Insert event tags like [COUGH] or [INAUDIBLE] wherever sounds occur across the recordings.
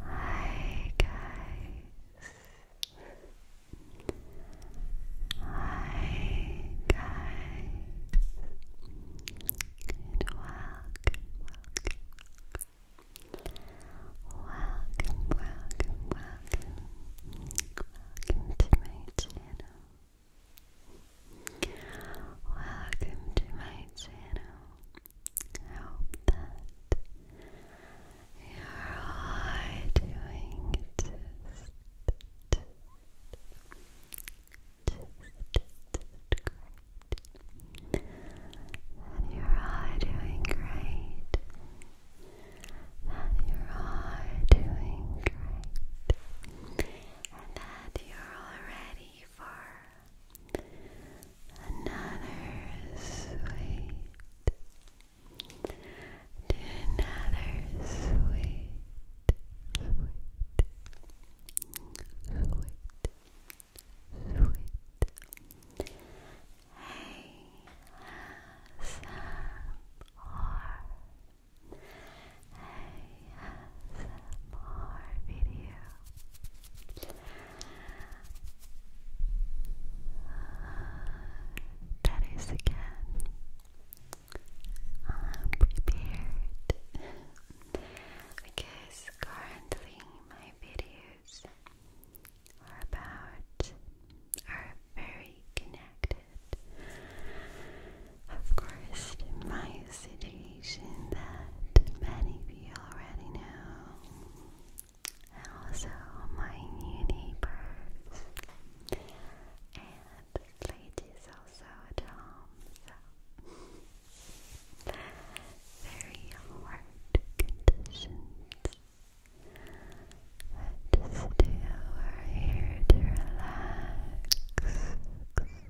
Hi guys. Hi guys. welcome, welcome, welcome, welcome, welcome to my channel. Welcome to my channel. I that you're all doing just, That you're all doing great. That you're all doing great. And that you're all ready another sweet another sweet, sweet, sweet, sweet ASMR video that is again. I'm prepared because currently my videos are about are very connected. Of course, my city information that many of you already know, and also my new neighbors and ladies also at home. very hard conditions. But still, we're here to relax.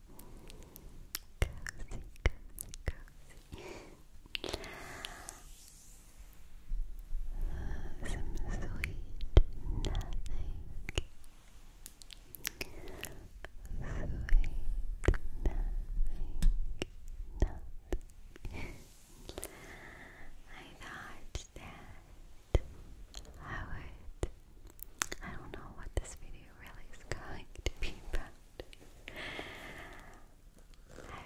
cozy, cozy, cozy. some sweet nothing. Sweet nothing. I thought that I would I don't know what this video really is going to be about. I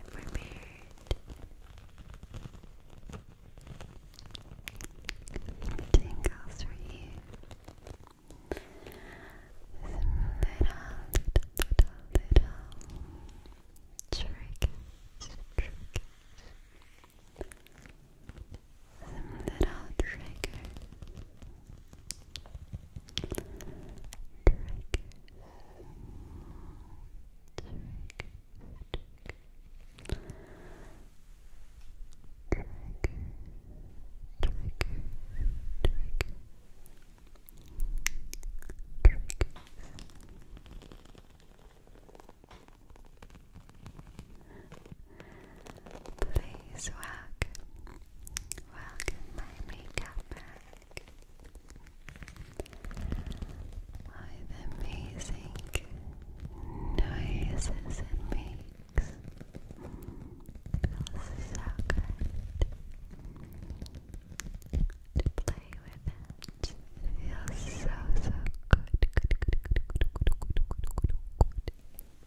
prepared tingles for you. Some little, little, little, little triggers, some little triggers. Triggers. Triggers. Trigger, trigger, trigger. Triggers. Please welcome, welcome my makeup bag with amazing noises it makes. Feels so good to play with it. feels so so good.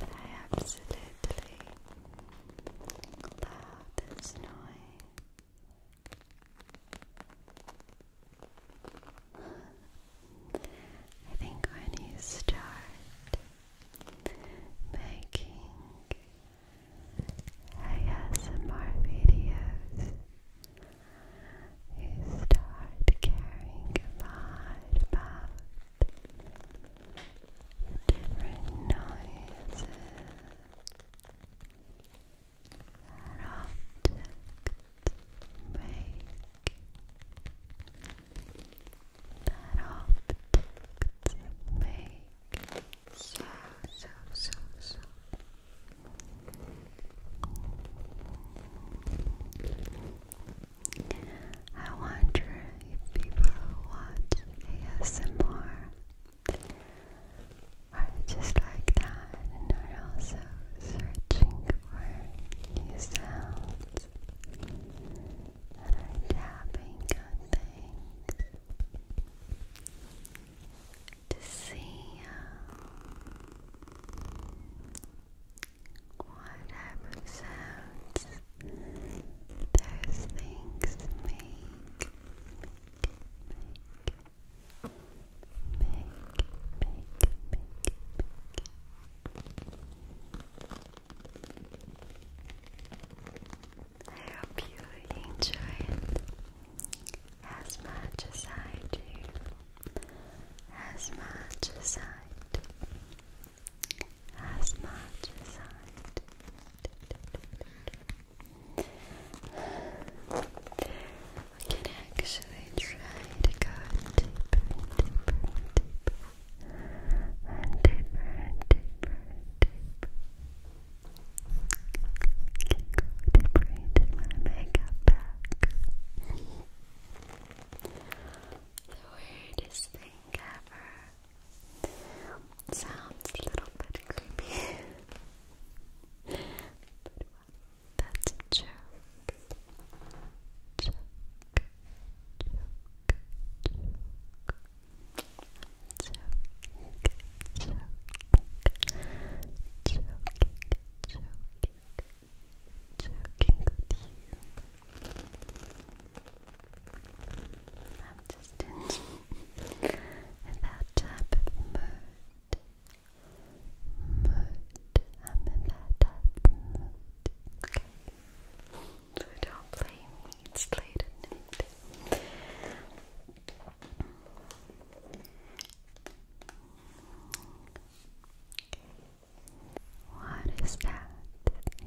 I absolutely love this noise. I think when you start making ASMR videos. You start caring about different noises that make that optics make so, so, so, so. I wonder if people watch ASMR are just like that and are also searching for new sounds and are tapping on things to see what type sounds those things Make, make, make, make, make, make. I hope you enjoy it as much as I do, as much as I as much as I do. can actually try to go deeper and deeper and deeper and deeper and deeper. Keep my makeup bag. the weirdest thing ever. Sounds a little bit creepy. but that's a I'm just in, that type of mood. Mood. I'm in that type of mood. So don't blame it's played. at night. What is that?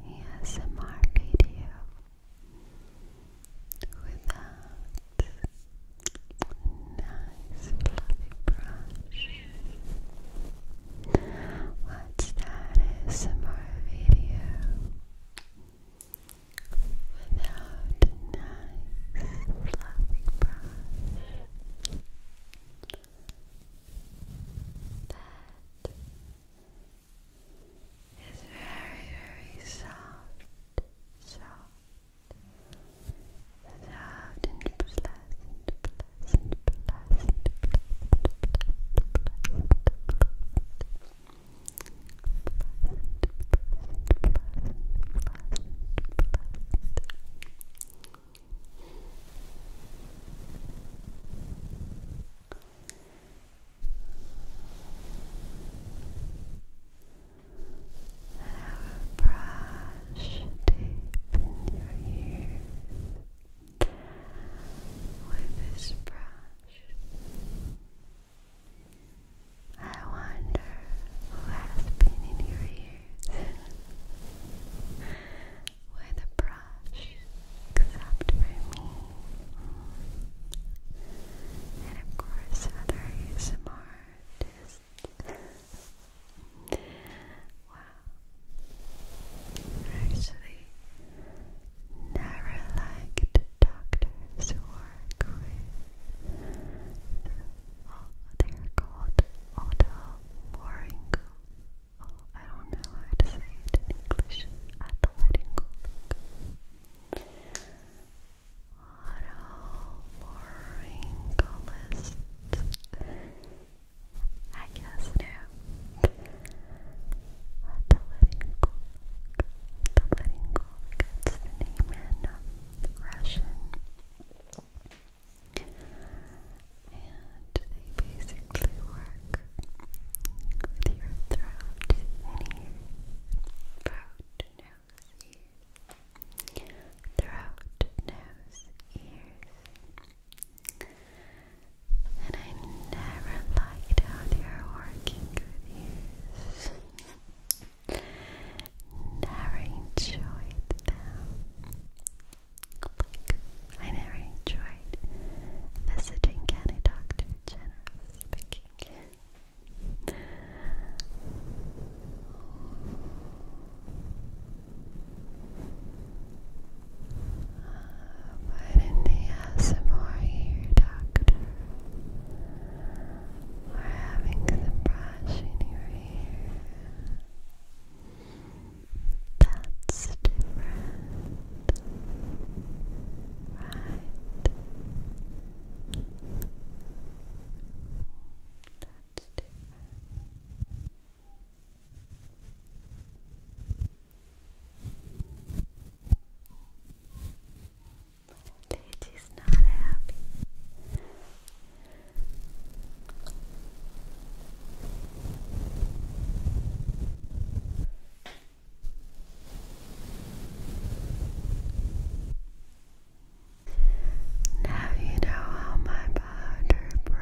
ASMR video without nice fluffy brush watch that ASMR video without a nice fluffy brush that is very, very soft, soft, soft and pleasant, pleasant, pleasant, Brush deep in your ears with this brush. I wonder who has been in your ears with a brush, except for me. And of course, other ASMR Actually, never liked doctors who work with oh, called otolaryngologists. Oh, I don't know how to say it in English. Otolaryngologists. Otolaryngologists. I guess now. The Living The Living Gorg. the name in Russian. And they basically work with throat and Throat, nose, ears. Throat, nose, ears. And I never liked how they are working with these. [LAUGHS] Never enjoyed them. Like, I never enjoyed visiting any doctor, generally speaking. Why didn't they have some more here, doctor? We're having the brushing your That's different. Right. That's different. Lucy's not happy. Now you know how my powder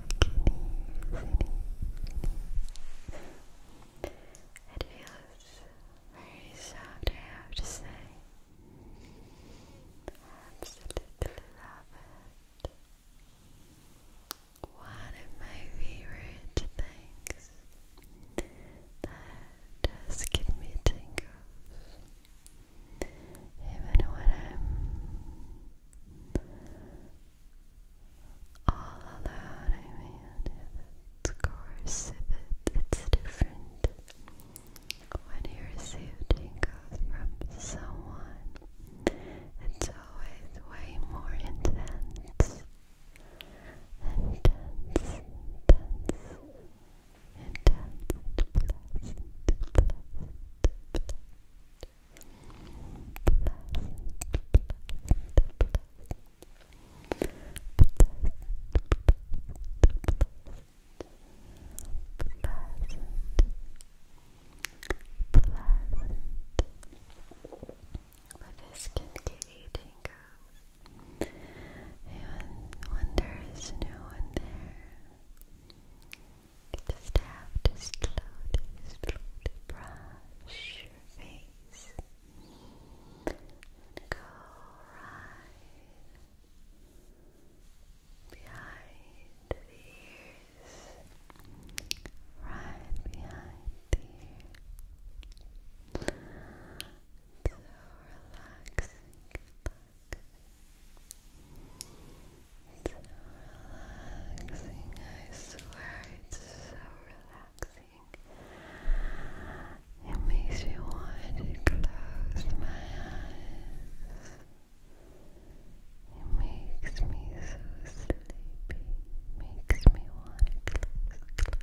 it feels very soft, I have Absolutely love it. One of my favorite things that does give me tingles, even when I'm all alone. I mean, if it's it's different. When you receive tingles from someone, it's always way more intense. Intense, intense, intense, pleasant, with can get eating goes, and wonders no one there. You just have to slowly, slowly brush your face and go right behind the ears, right behind the ears. So relaxing so relaxing, I it's so relaxing. It makes me want to close my eyes. It makes me so sleepy. Makes me want to close,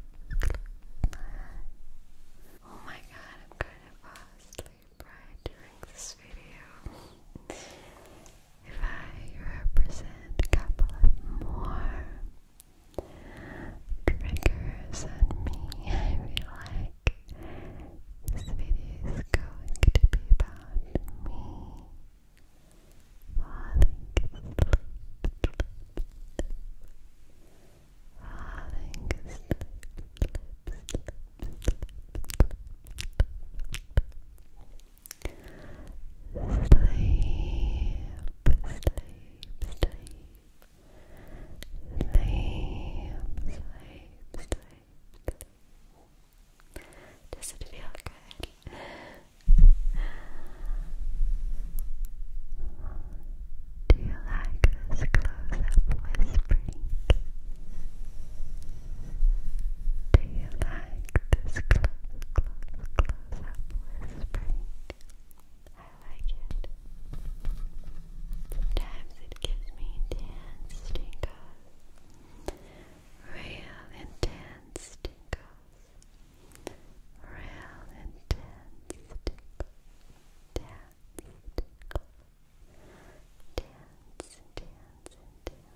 close my eyes. Oh my god, I'm gonna fall asleep right during this video if I represent a couple of more triggers on me, I feel like this video is going to be about me falling sleep, sleep. Does it feel good? Do you like this close-up whispering? Do you like like this close, close, close up whispering. I like it. Sometimes it gives me intense tingles. Real intense tingles. Real intense tingles. Dance, tingle. Dance, dance,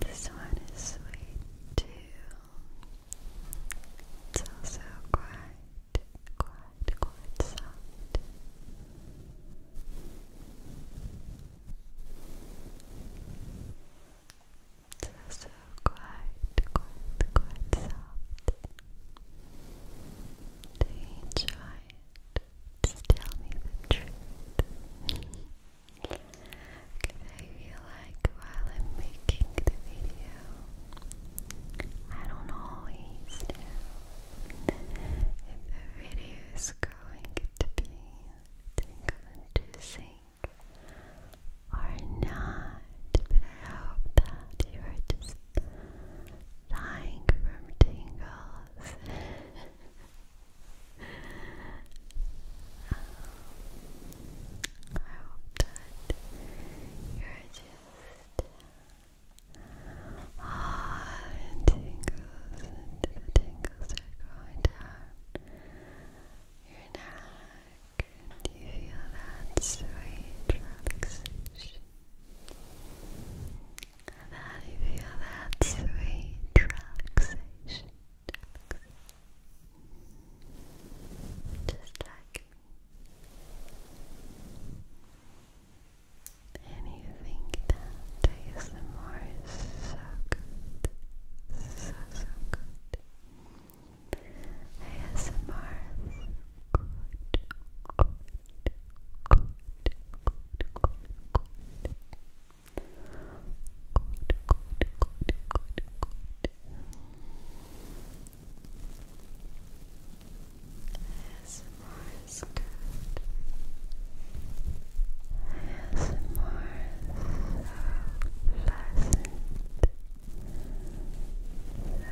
This one is sweet too. It's also quite, quite, quite soft. It's also quite, quite, quite soft. enjoy just tell me the truth. I feel like while I'm making the video, I don't always know if the video is going to be tingle or not. But I hope that you are just dying from tingles. [LAUGHS] I hope that you're just ah, and tingles, and the tingles are going down your neck. Do you feel that sweet relaxation? that you feel that sweet relaxation. Just like me. And you think that so good. So, so good. ASMR is Good so pleasant. So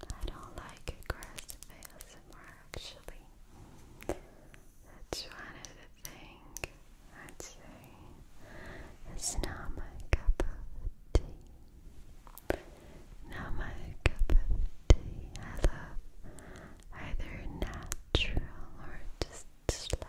I don't like aggressive ASMR actually. That's one of the things I'd say it's not my cup of tea. Not my cup of tea. I love either natural or just slow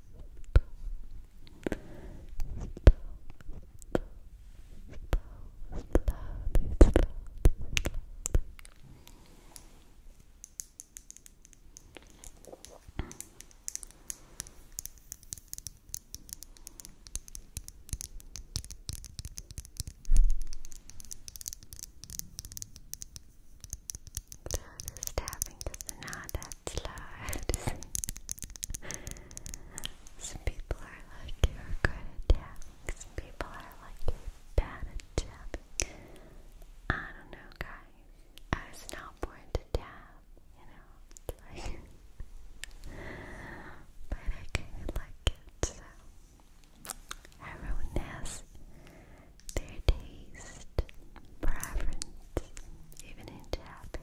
stop, stop, stop, slowly, slowly, slowly. This tapping the sonata loud. Some people are like you're good at tapping. Some people are like bad at tapping. I don't know, guys. I was not born to tap, you know. but I kind of like it, so. Everyone has their taste, preference, even in tapping.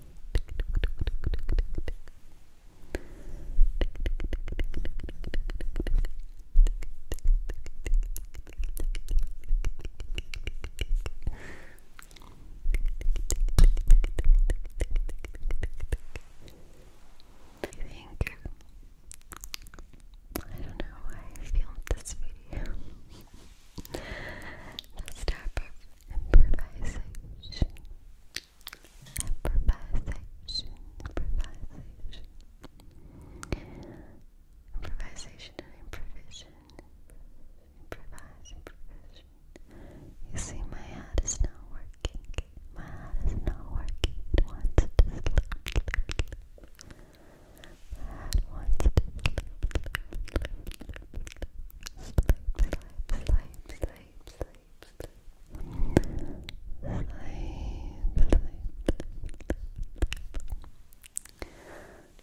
I think I don't know why I filmed this video. Let's tap up improvisation, improvisation, improvisation, improvisation and improvision, You see, my head is not working. My head is not working.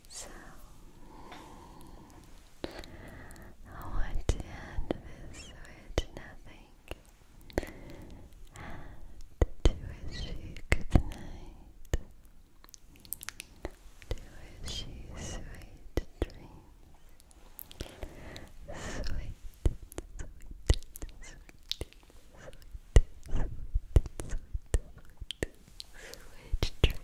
So, I want to end this with nothing and to wish good night. To wish you sweet dreams. Sweet, sweet, sweet, sweet, sweet, dreams.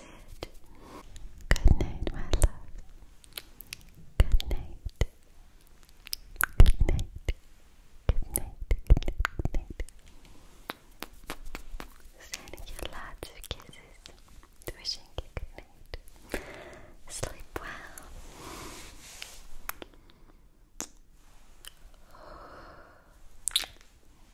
Good night, my love. Good night. Good night. Good night. Good night. Sending you lots of kisses. Wishing you good night. Sleep well.